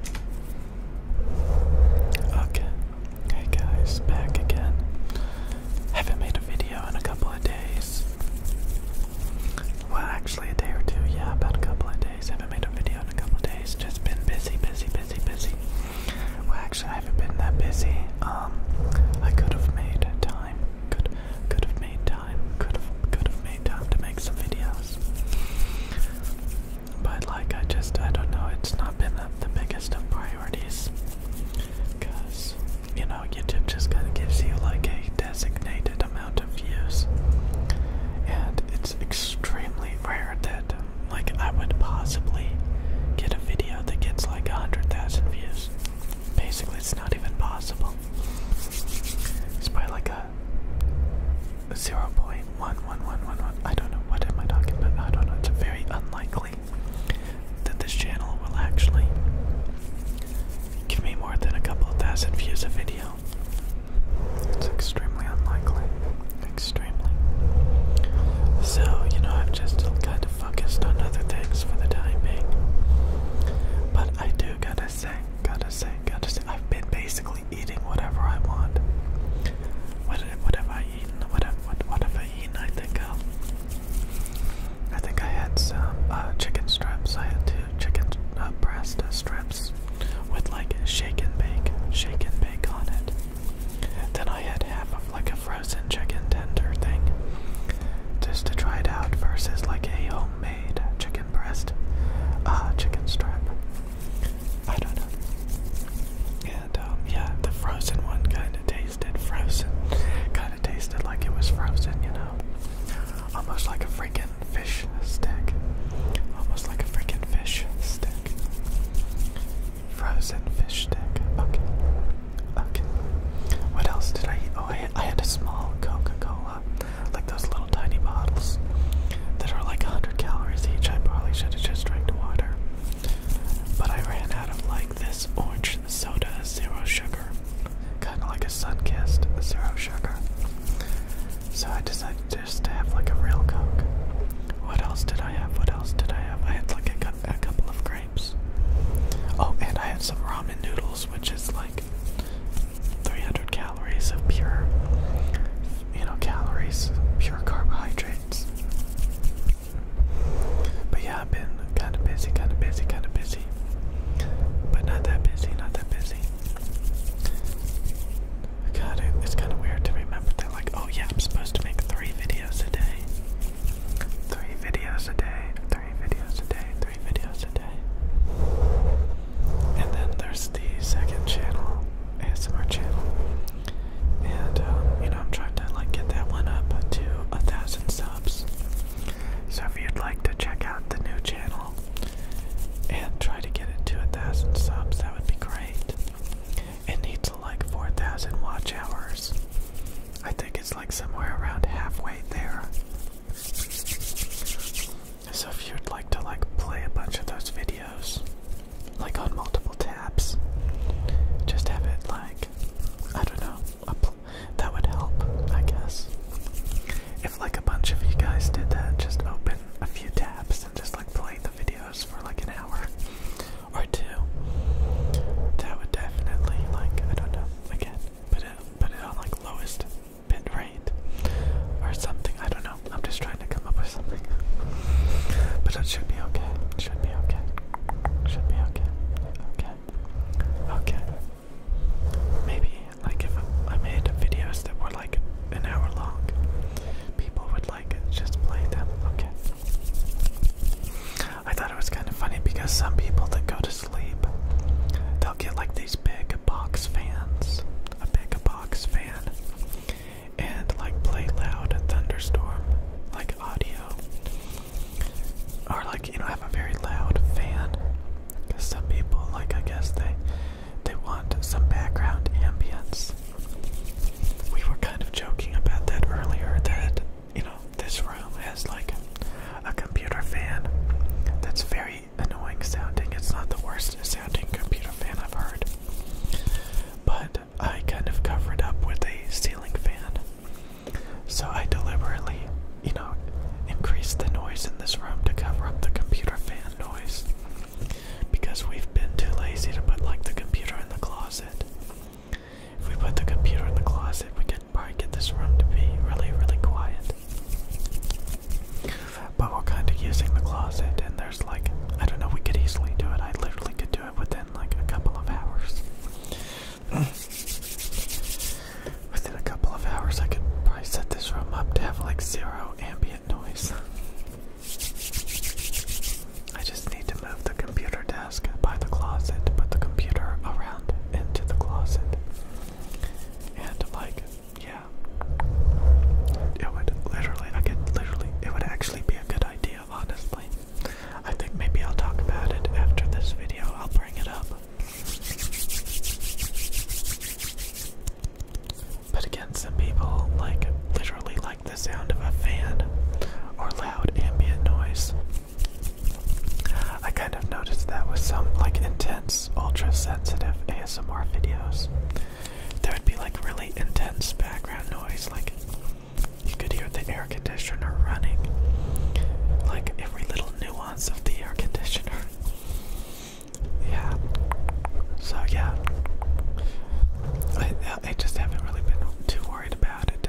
Okay, hey guys, back again. Haven't made a video in a couple of days. Well, actually, a day or two, yeah, about a couple of days. Haven't made a video in a couple of days. Just been busy, busy, busy, busy. Well, actually, I haven't been that busy. Um, I could have made time. Could could have made time. Could have could have made time to make some videos. But like I just I don't know, it's not been the, biggest of priorities. Cause you know, YouTube just kinda gives you like a designated amount of views. And it's extremely rare that like I would possibly get a video that gets like a hundred thousand views. Basically it's not even possible. It's probably like a uh, I don't know what am I talking about. I don't know. It's very unlikely that this channel will actually give me more than a couple thousand views a video. It's extremely unlikely. Extremely. So, you know, I've just kind of focused on other things for the time being. But I do gotta say, gotta say, gotta say, I've been basically eating whatever I want. What, have I eaten? What have, I eaten? I think um, I think I had some uh, chicken strips. I had two chicken uh, breast strips with like shake and bake, shake and bake on it. Then I had half of like a frozen chicken tender thing, just to try it out versus like a homemade chicken chicken breast, uh, chicken strap. I don't know. And um, yeah, the frozen one kind of tasted frozen, kind of tasted like it was frozen, you know, almost like a freaking fish stick, almost like a freaking fish stick. Frozen fish stick. Okay. Okay. What else did I eat? Oh, I had a small Coca Cola like those little tiny bottles that are like 100 calories each. I probably should have just drank water. But I ran out of like this orange soda, zero sugar. Kind of like a sun kissed, zero sugar. So I decided just to have like a real Coke. What else did I have? What else did I have? I had like a couple of grapes. Oh, and I had some ramen noodles, which is like 300 calories of pure, you know, calories, pure carbohydrates. But yeah, I've been kind of busy, kind of busy, kind of busy. But not that busy, not that busy. God, it's kind of weird to remember that, like, oh yeah, I'm supposed to make three videos a day. Three videos a day, three videos a day, three videos a day. And then there's the second channel, ASMR channel. And um, you know, I'm trying to like get that one up to a thousand subs. So if you'd like to check out the new channel and try to get it to a thousand subs, that would be great. It needs like four thousand watch hours. I think it's like somewhere around halfway there. So if you'd like to like play a bunch of those videos, like on multiple tabs, just have it like I don't know, that would help, I guess. If like a bunch of you guys did that, just open a few tabs and just like play the videos for like an hour or two. That would definitely like I don't know again put it put it on like lowest bit rate or something. I don't know. I'm just trying to come up with something. But that should be okay. should be okay. should be okay. Okay. Okay. Maybe like if I made videos that were like an hour long, people would like just play them. Okay. I thought it was kind of funny because some people that go to sleep, they'll get like these big box fans, a big box fan, and like play loud thunderstorm, like audio, or like you know have a very loud fan. Cause some people, like I guess they, they want some background ambience. We were kind of joking about that earlier that you know, this room has like a computer fan that's very annoying sounding. It's not the worst sounding computer fan I've heard. But I kind of covered up with a ceiling fan. So I deliberately, you know, increased the noise in this room to cover up the computer fan noise. Because we've been too lazy to put like the computer in the closet. If we put the computer in the closet, we could probably get this room to be really, really quiet. But we're kind of using the closet, and there's like, I don't know, we could easily do it. I literally could do it within like a couple of hours. within a couple of hours, I could probably set this room up to have like zero ambient noise. I just need to move the computer desk by the closet, put the computer around into the closet. And like, yeah. It would literally, I could literally, it would actually be a good idea, honestly. I think maybe I'll talk about it after this video. I'll bring it up. But again, some people, like, literally like the sound of a fan or loud ambient noise. I kind of noticed that with some like intense, ultra sensitive ASMR videos. There would be like really intense background noise, like you could hear the air conditioner running, like every little nuance of the air conditioner. Yeah. So yeah, I just haven't really been too worried about it.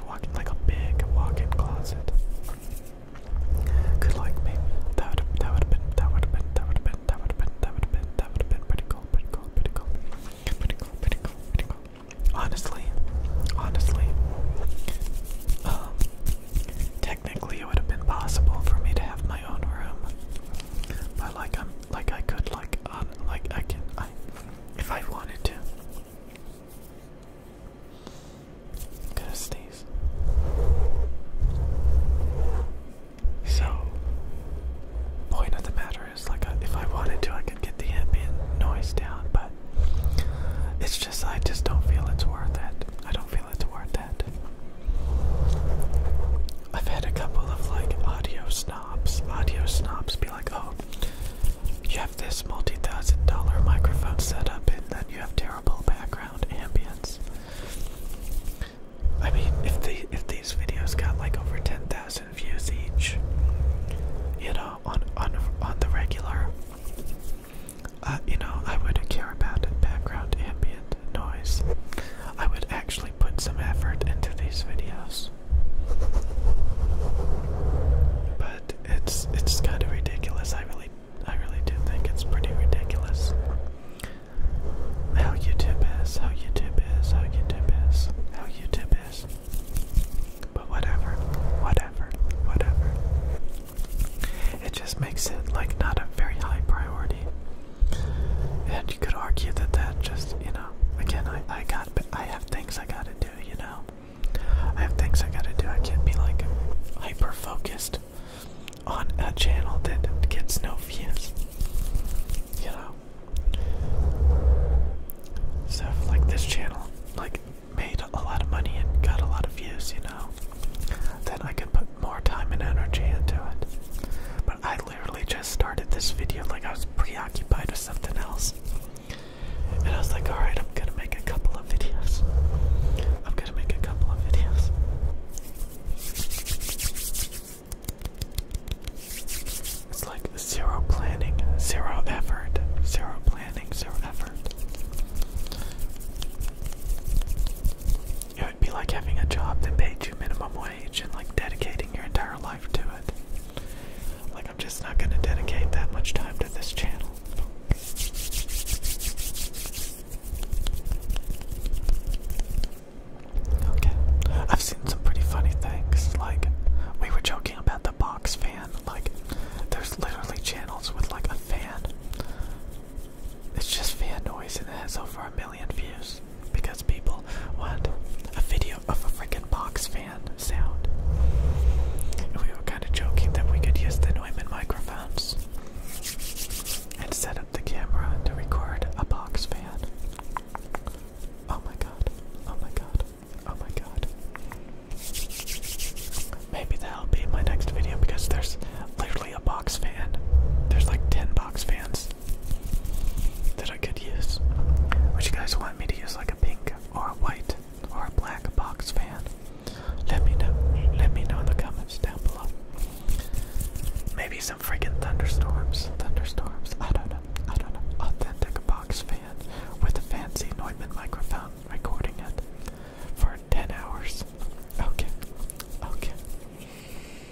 huge walk-in, like a big walk-in closet. Could like maybe that would that would have been that would have been that would have been that would have been that would have been that would have been pretty cool, pretty cool, pretty cool, pretty cool, pretty cool, pretty cool. Honestly, honestly, um, technically it would have been possible for me to have my own room, but like I'm like I could like um like I can I if I wanted to i to sneeze. So, point of the matter is, like, uh, if I wanted to, I could get the ambient noise down, but it's just I just don't feel it's worth it. I don't feel it's worth it. I've had a couple of like audio snobs, audio snobs be like, oh, you this multi-thousand dollar microphone setup and then you have terrible background ambience. I mean, if the if these videos got like over ten thousand views each, you know, on on on the regular, uh, you know, I wouldn't care about it, background ambient noise. I would actually put some effort into these videos. But it's it's kind of ridiculous. I really I really do think it's pretty ridiculous. How YouTube is, how YouTube is, how YouTube is, how YouTube is. But whatever, whatever, whatever. It just makes it like not a very high priority. And you could argue that that just, you know, again, I, I but I have things I gotta do, you know? I have things I gotta do. I can't be like hyper focused on a channel that gets no views, you know? So, like, this channel, like, made a lot of money and got a lot of views, you know? Then I could put more time and energy into it. But I literally just started this video like I was preoccupied with something else. And I was like, alright, I'm gonna make a couple of videos. I'm gonna make a couple of videos. It's like zero planning, zero effort, zero planning, zero effort. It would be like having a job that paid you minimum wage and like dedicating your entire life to it. Like, I'm just not gonna dedicate that much time to this channel. Okay, I've seen some pretty funny things. Like, we were joking about the box fan. Like, there's literally channels with like a fan. It's just fan noise and it has over a million views because people want a video of a freaking box fan sound. we were kind of joking that we could use the Neumann microphones and set up the camera to record a box fan. Oh my god, oh my god, oh my god. Maybe that'll be my next video because there's literally a box fan. There's like 10 box fans that I could use. Would you guys want me to use like a pink or a white or a black box fan? Let me know. Let me know in the comments down below. Maybe some freaking thunderstorms. Thunderstorms. I don't know. I don't know. Authentic box fan with a fancy Neumann microphone recording it for 10 hours. Okay. Okay.